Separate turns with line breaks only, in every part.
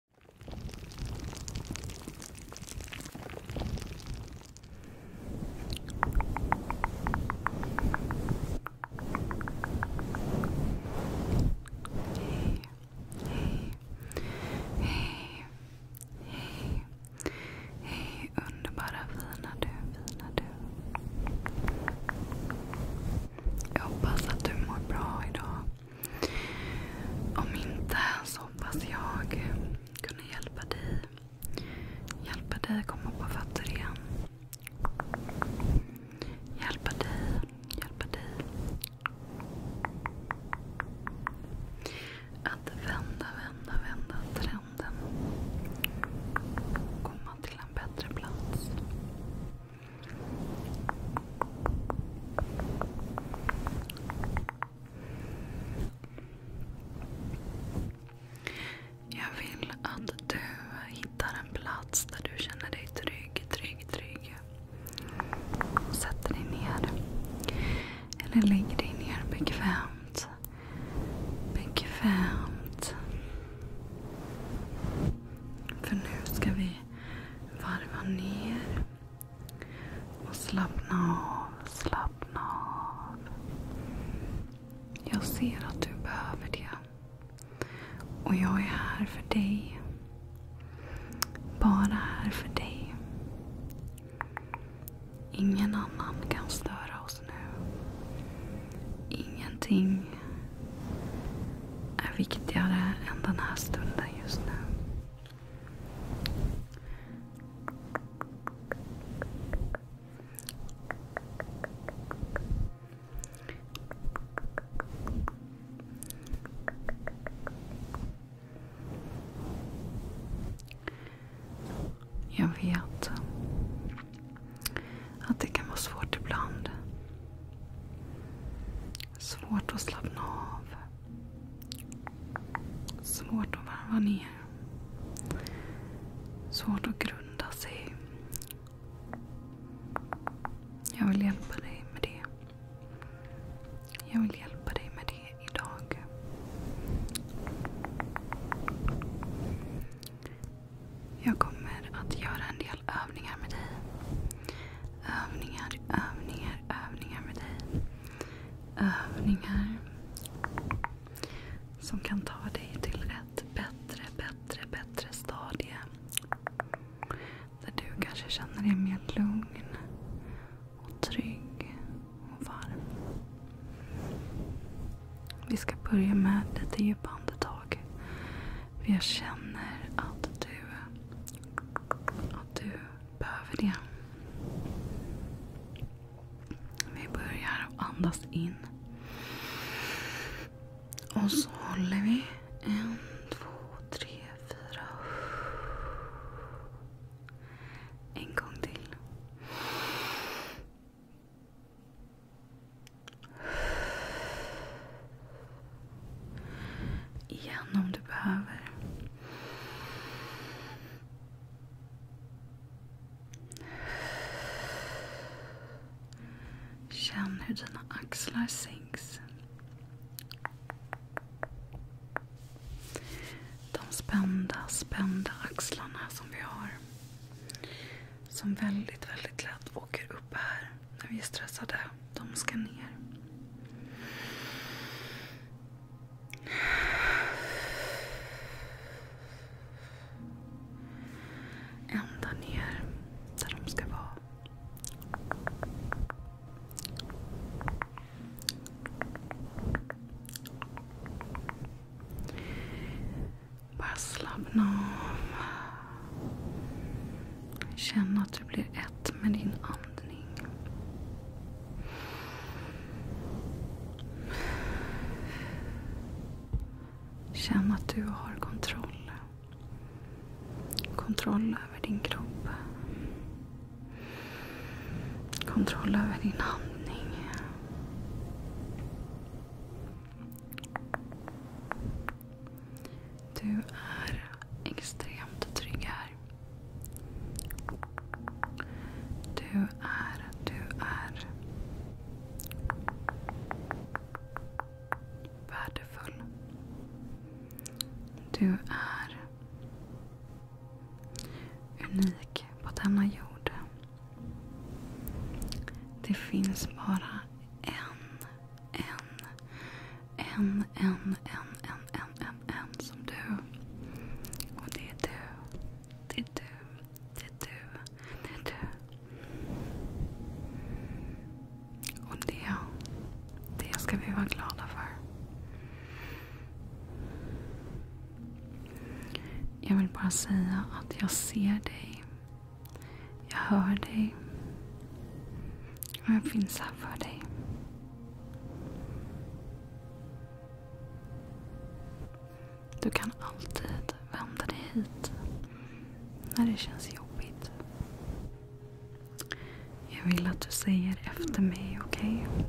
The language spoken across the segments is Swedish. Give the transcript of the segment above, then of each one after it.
Hey, hey, hey, hey, hey, underbara fina du, fina du. Jag hoppas att du mår bra idag. Om inte så hoppas jag kunna hjälpa dig. Hjälpa dig komma på fötter igen. Hjälpa dig, hjälpa dig. Att vända, vända, vända trenden. Komma till en bättre plats. Jag vill att du hittar en plats där du känner dig trygg, trygg, trygg. Sätter dig ner. Eller lägger dig ner bekvämt. Bekvämt. För nu ska vi Varva ner. Och slappna av, slappna av. Jag ser att du behöver det. Och jag är här för dig. Bara här för dig. Ingen annan kan störa oss nu. Ingenting är viktigare än den här stunden just nu. Jag vet att det kan vara svårt ibland. Svårt att slappna av. Svårt att varva ner. Svårt att grunda sig. Jag vill hjälpa dig med det. Jag vill hjälpa dig med det idag. Jag kommer att göra en del övningar med dig. Övningar, övningar, övningar med dig. Övningar som kan ta dig till ett bättre, bättre, bättre stadie. Där du kanske känner dig mer lugn och trygg och varm. Vi ska börja med lite djupa andetag andetag. jag känner att du, att du behöver det. Vi börjar andas in. Och så håller vi. En, två, tre, fyra. En gång till. Igen om du behöver. Känn hur dina axlar sänks. De spända, spända axlarna som vi har. Som väldigt, väldigt lätt åker upp här när vi är stressade. De ska ner. Ända ner där de ska vara. Bara slappna av. Känn att du blir ett med din andning. Känn att du har kontroll. Kontroll över din kropp. Kontroll över din andning. Du är extremt trygg här. Du är, du är värdefull. Du är unik på denna jord. Det finns bara en en, en, en, en, en, en, en, en som du. Och det är du. Det är du. Det är du. Det är du. Och det, det ska vi vara glada för. Jag vill bara säga att jag ser dig. Jag hör dig. Och jag finns här för dig. Du kan alltid vända dig hit när det känns jobbigt. Jag vill att du säger efter mig, okej? Okay?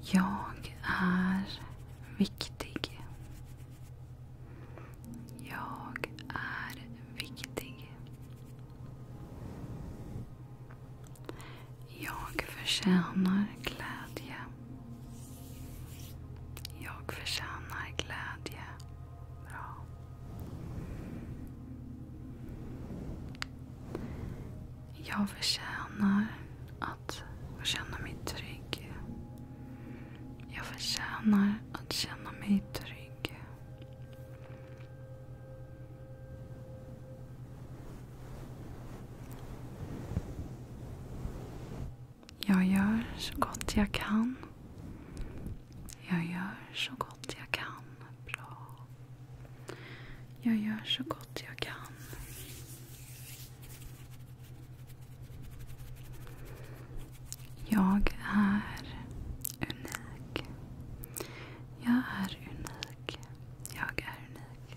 Jag är viktig. Jag är viktig. Jag förtjänar glädje. Jag förtjänar glädje. Bra. Jag förtjänar att få känna mig trygg. Jag förtjänar att känna mig trygg. Jag gör så gott jag kan. Jag gör så gott jag kan. Bra. Jag gör så gott jag kan. Jag är unik. Jag är unik. Jag är unik.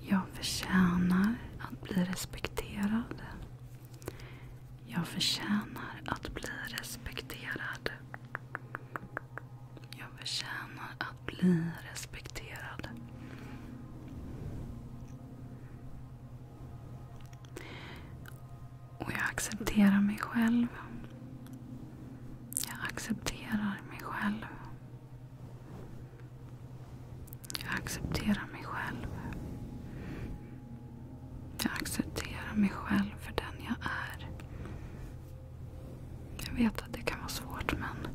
Jag förtjänar att bli respekterad. Jag förtjänar att bli respekterad. Jag förtjänar att bli respekterad. Och jag accepterar mig själv. Jag accepterar mig själv. Jag accepterar mig själv. Jag accepterar mig själv för den jag är. Jag vet att det kan vara svårt men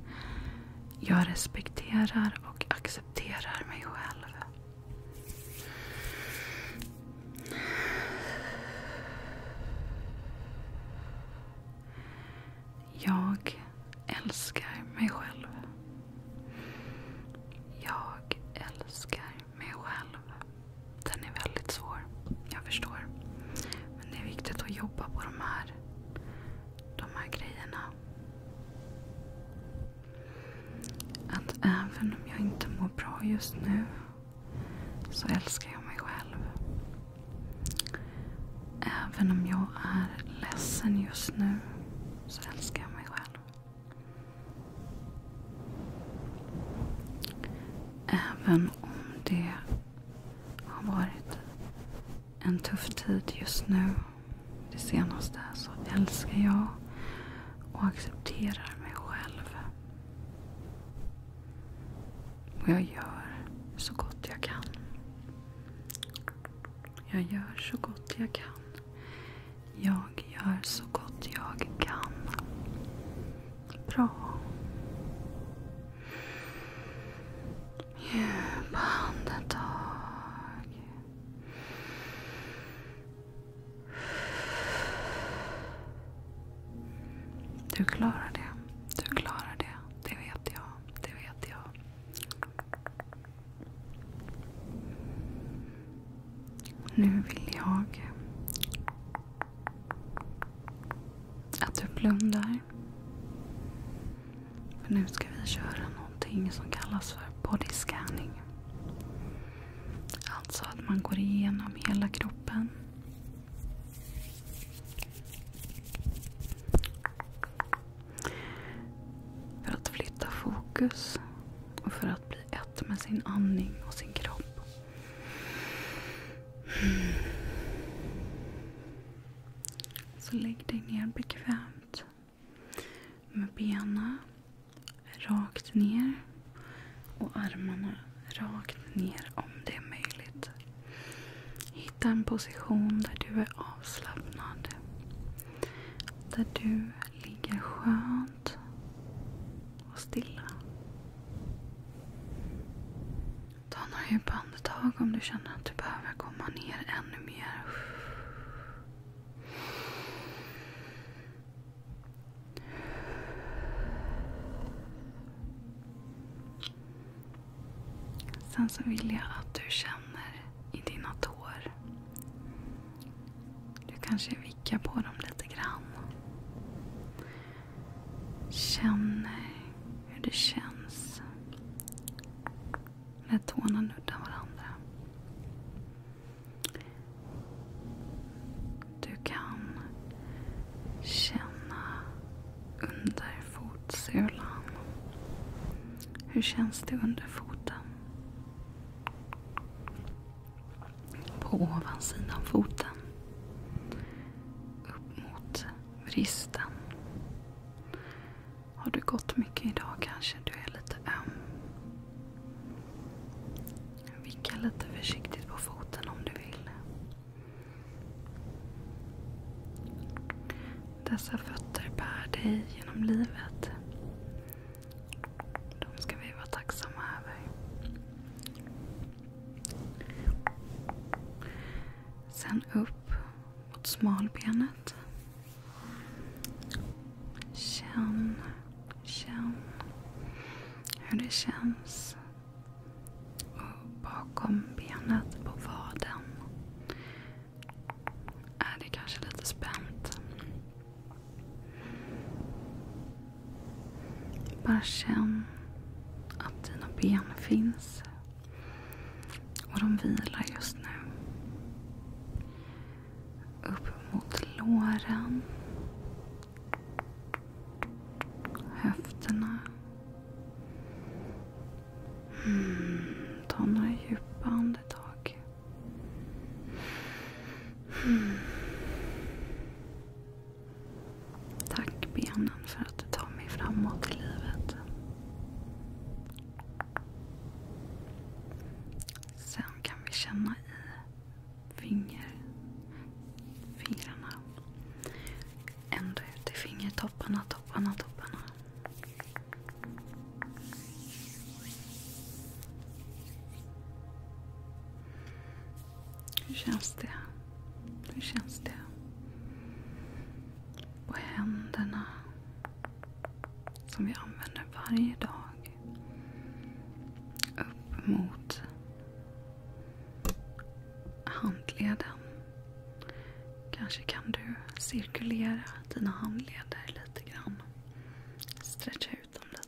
jag respekterar och accepterar mig själv. Jag älskar mig själv. Jag älskar mig själv. Den är väldigt svår. Jag förstår. Men det är viktigt att jobba på de här, de här grejerna. Att även om jag inte mår bra just nu så älskar jag mig själv. Även om jag är ledsen just nu så älskar jag mig själv. Även om det har varit en tuff tid just nu. Det senaste så älskar jag och accepterar mig själv. Och jag gör så gott jag kan. Jag gör så gott jag kan. Jag gör så gott jag kan. Bra. Djupa andetag. Du klarar det. Du klarar det. Det vet jag. Det vet jag. Nu vill jag att du blundar. För nu ska vi köra någonting som kallas för body scanning. Alltså att man går igenom hela kroppen. För att flytta fokus och för att bli ett med sin andning och sin kropp. Så lägg dig ner bekvämt med benen rakt ner och armarna rakt ner om det är möjligt. Hitta en position där du är avslappnad. Där du ligger skönt och stilla. Ta några djupa andetag om du känner att du behöver komma ner ännu mer. Sen så vill jag att du känner i dina tår. Du kanske vickar på dem lite grann. Känner hur det känns när tårna nuddar varandra. Du kan känna under fotsulan. Hur känns det under foten? på ovansidan foten. Upp mot vristen. Har du gått mycket idag kanske? Du är lite öm. Vicka lite försiktigt på foten om du vill. Dessa fötter bär dig genom livet. De ska vi vara tacksamma över. Sen upp mot smalbenet. Känn, känn hur det känns. Och bakom benet på vaden är det kanske lite spänt. Bara känn att dina ben finns. Och de vilar just nu. Upp mot låren. Höfterna. Mm, ta några djupa andetag. Mm. Tack benen för att du tar mig framåt i livet. Sen kan vi känna i finger, fingrarna. Ända ut i fingertopparna, topparna, topparna. Hur känns det? Hur känns det? På händerna som vi använder varje dag. Upp mot handleden. Kanske kan du cirkulera dina handleder lite grann. Stretcha ut dem lite.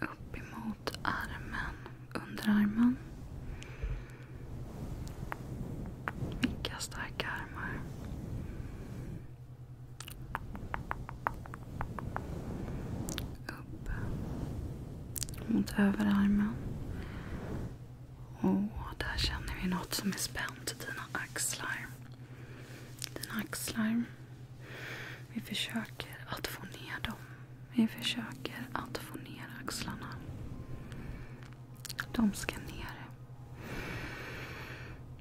Upp emot armen, underarmen. Vilka starka armar. Upp mot överarmen. Och där känner vi något som är spänt i dina axlar. Dina axlar. Vi försöker att få ner dem. Vi försöker att få ner axlarna. De ska ner.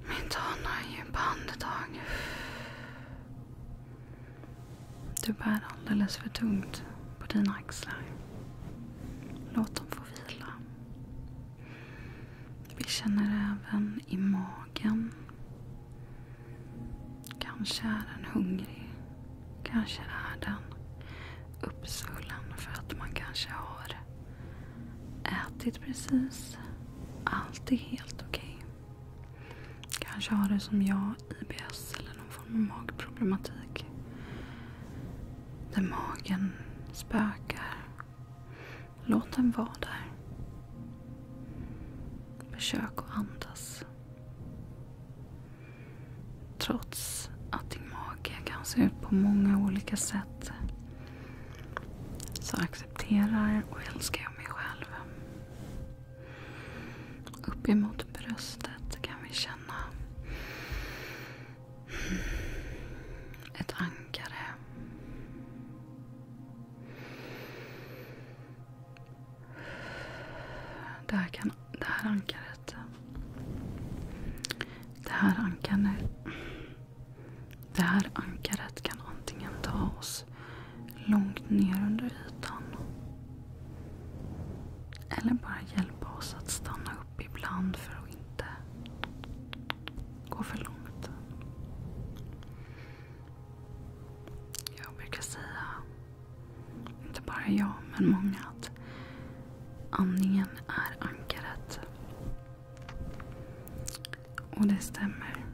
Men ta några djupa andetag. Du bär alldeles för tungt på dina axlar. Låt dem få vila. Vi känner även i magen. Kanske är den hungrig. Kanske är den uppsvullen för att man kanske har ätit precis. Allt är helt okej. Okay. Kanske har du som jag IBS eller någon form av magproblematik. Där magen spökar. Låt den vara där. Försök att andas. Trots att din mage kan se ut på många olika sätt så accepterar och älskar jag mig själv. Uppemot bröstet kan vi känna ett ankare. Det här, kan, det här ankaret. Det här ankaret. Det här ankaret kan antingen ta oss långt ner under ytan. Eller bara hjälpa oss att stanna upp upp ibland för att inte gå för långt. Jag brukar säga, inte bara jag men många, att andningen är ankaret. Och det stämmer.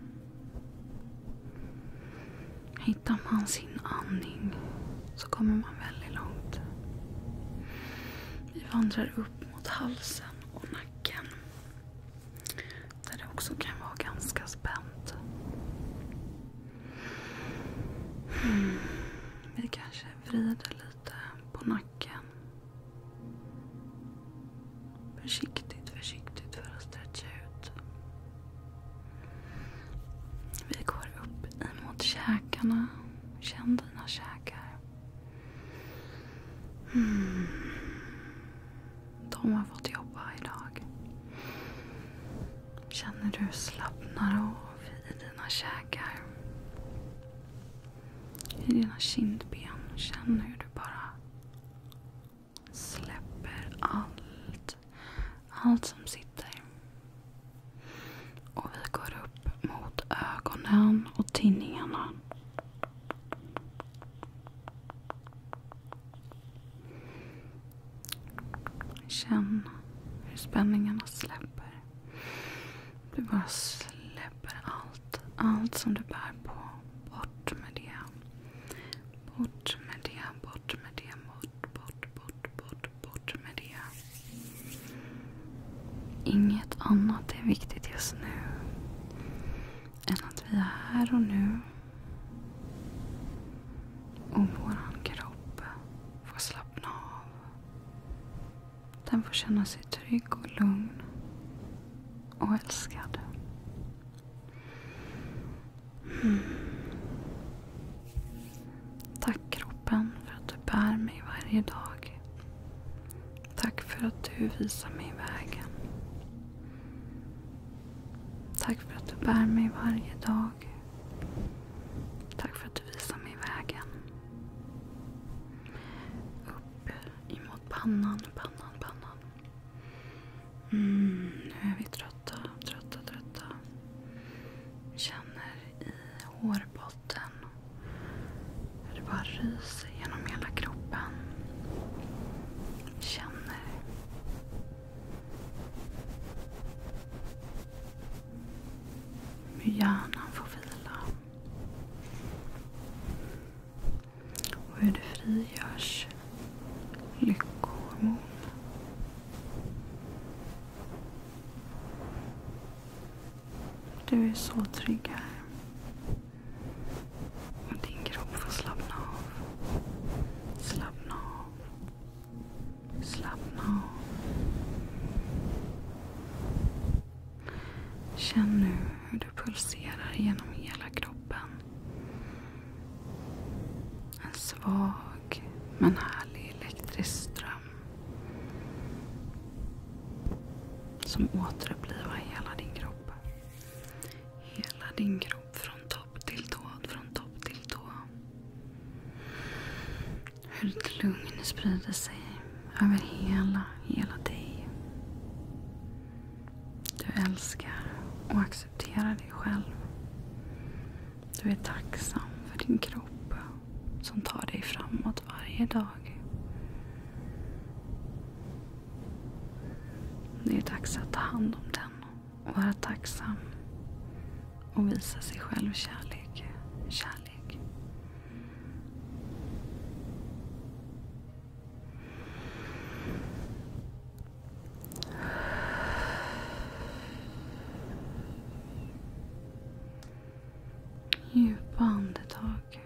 Hittar man sin andning så kommer man väldigt långt. Vi vandrar upp mot halsen halsen och nacken. Där det också kan vara ganska spänt. Mm. Vi kanske vrider lite på nacken. Försiktigt, försiktigt för att stretcha ut. Vi går upp emot käkarna. Känn dina käkar. Hmm. De har fått jobba idag. Känner du slappnar av i dina käkar? I dina kindben. Känn hur du bara släpper allt. Allt som sitter. Och vi går upp mot ögonen och tinningarna. Känn hur spänningarna släpper. Du bara släpper allt. Allt som du bär på. Bort med det. Bort med det, bort med det, bort, bort, bort, bort, bort med det. Inget annat är viktigt just nu än att vi är här och nu och vår kropp får slappna av. Den får känna sig trygg och lugn och älskad. Mm. Tack kropp kroppen för att du bär mig varje dag. Tack för att du visar mig vägen. Tack för att du bär mig varje dag. Tack för att du visar mig vägen. Upp emot pannan, pannan, pannan. Mm, nu är vi trötta, trötta, trötta. Känner i hårbotten. Hur det bara ryser genom hela kroppen. Känner. Hur hjärnan får vila. Och hur det frigörs lyckohormon. Du är så trygg här. Och din kropp får slappna av. Slappna av. Slappna av. Känn nu hur du pulserar genom hela kroppen. En svag men härlig elektrisk ström som återupplivar hela din kropp. Hela din kropp från topp till tå, från topp till tå. Hur ett lugn sprider sig över hela, hela dig. Du älskar och accepterar dig själv. Du är tacksam för din kropp som tar dig framåt varje dag. Det är dags att ta hand om den och vara tacksam. Och visa sig själv kärlek. Kärlek. Djupa andetag.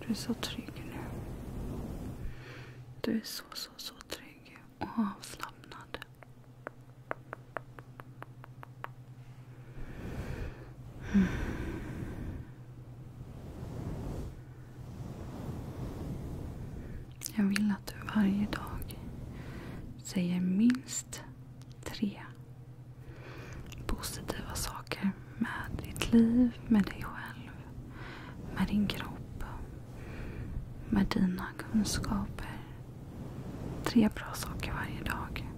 Du är så trygg nu. Du är så, så, så trygg och avslappnad. Mm. Jag vill att du varje dag säger minst tre positiva saker med ditt liv, med dig själv, med din kropp, med dina kunskaper. Tre bra saker varje dag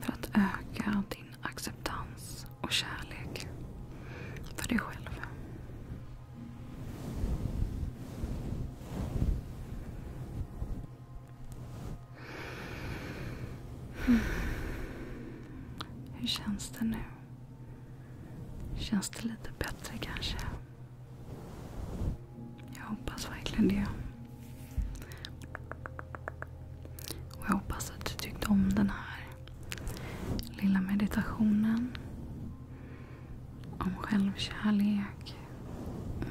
för att öka din acceptans och kärlek för dig själv. Hur känns det nu? Känns det lite bättre kanske? Jag hoppas verkligen det. Och jag hoppas att du tyckte om den här lilla meditationen om självkärlek,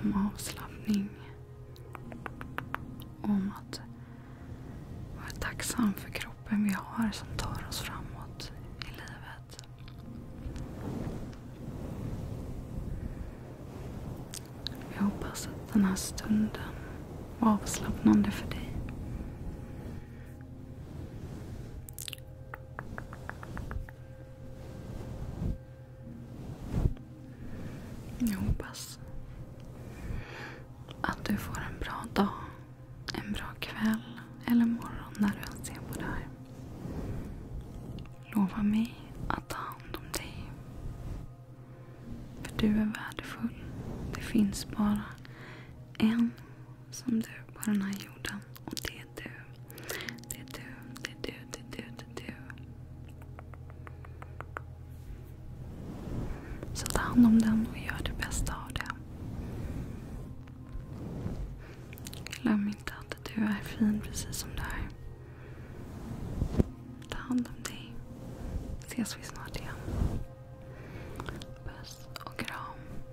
om avslappning. Om att vara tacksam för kroppen vi har som tar oss framåt i livet. Jag hoppas att den här stunden var avslappnande för dig. Jag hoppas att du får en bra dag, en bra kväll eller morgon när du än ser på det här. Lova mig att ta hand om dig. För du är värdefull. Det finns bara en som du på den här jorden. Och det är du. Det är du, det är du, det är du, det är du. Så ta hand om den och gör det bästa av det. Glöm inte att du är fin precis som du är. Ta hand om dig. Ses vi snart igen. Puss och kram.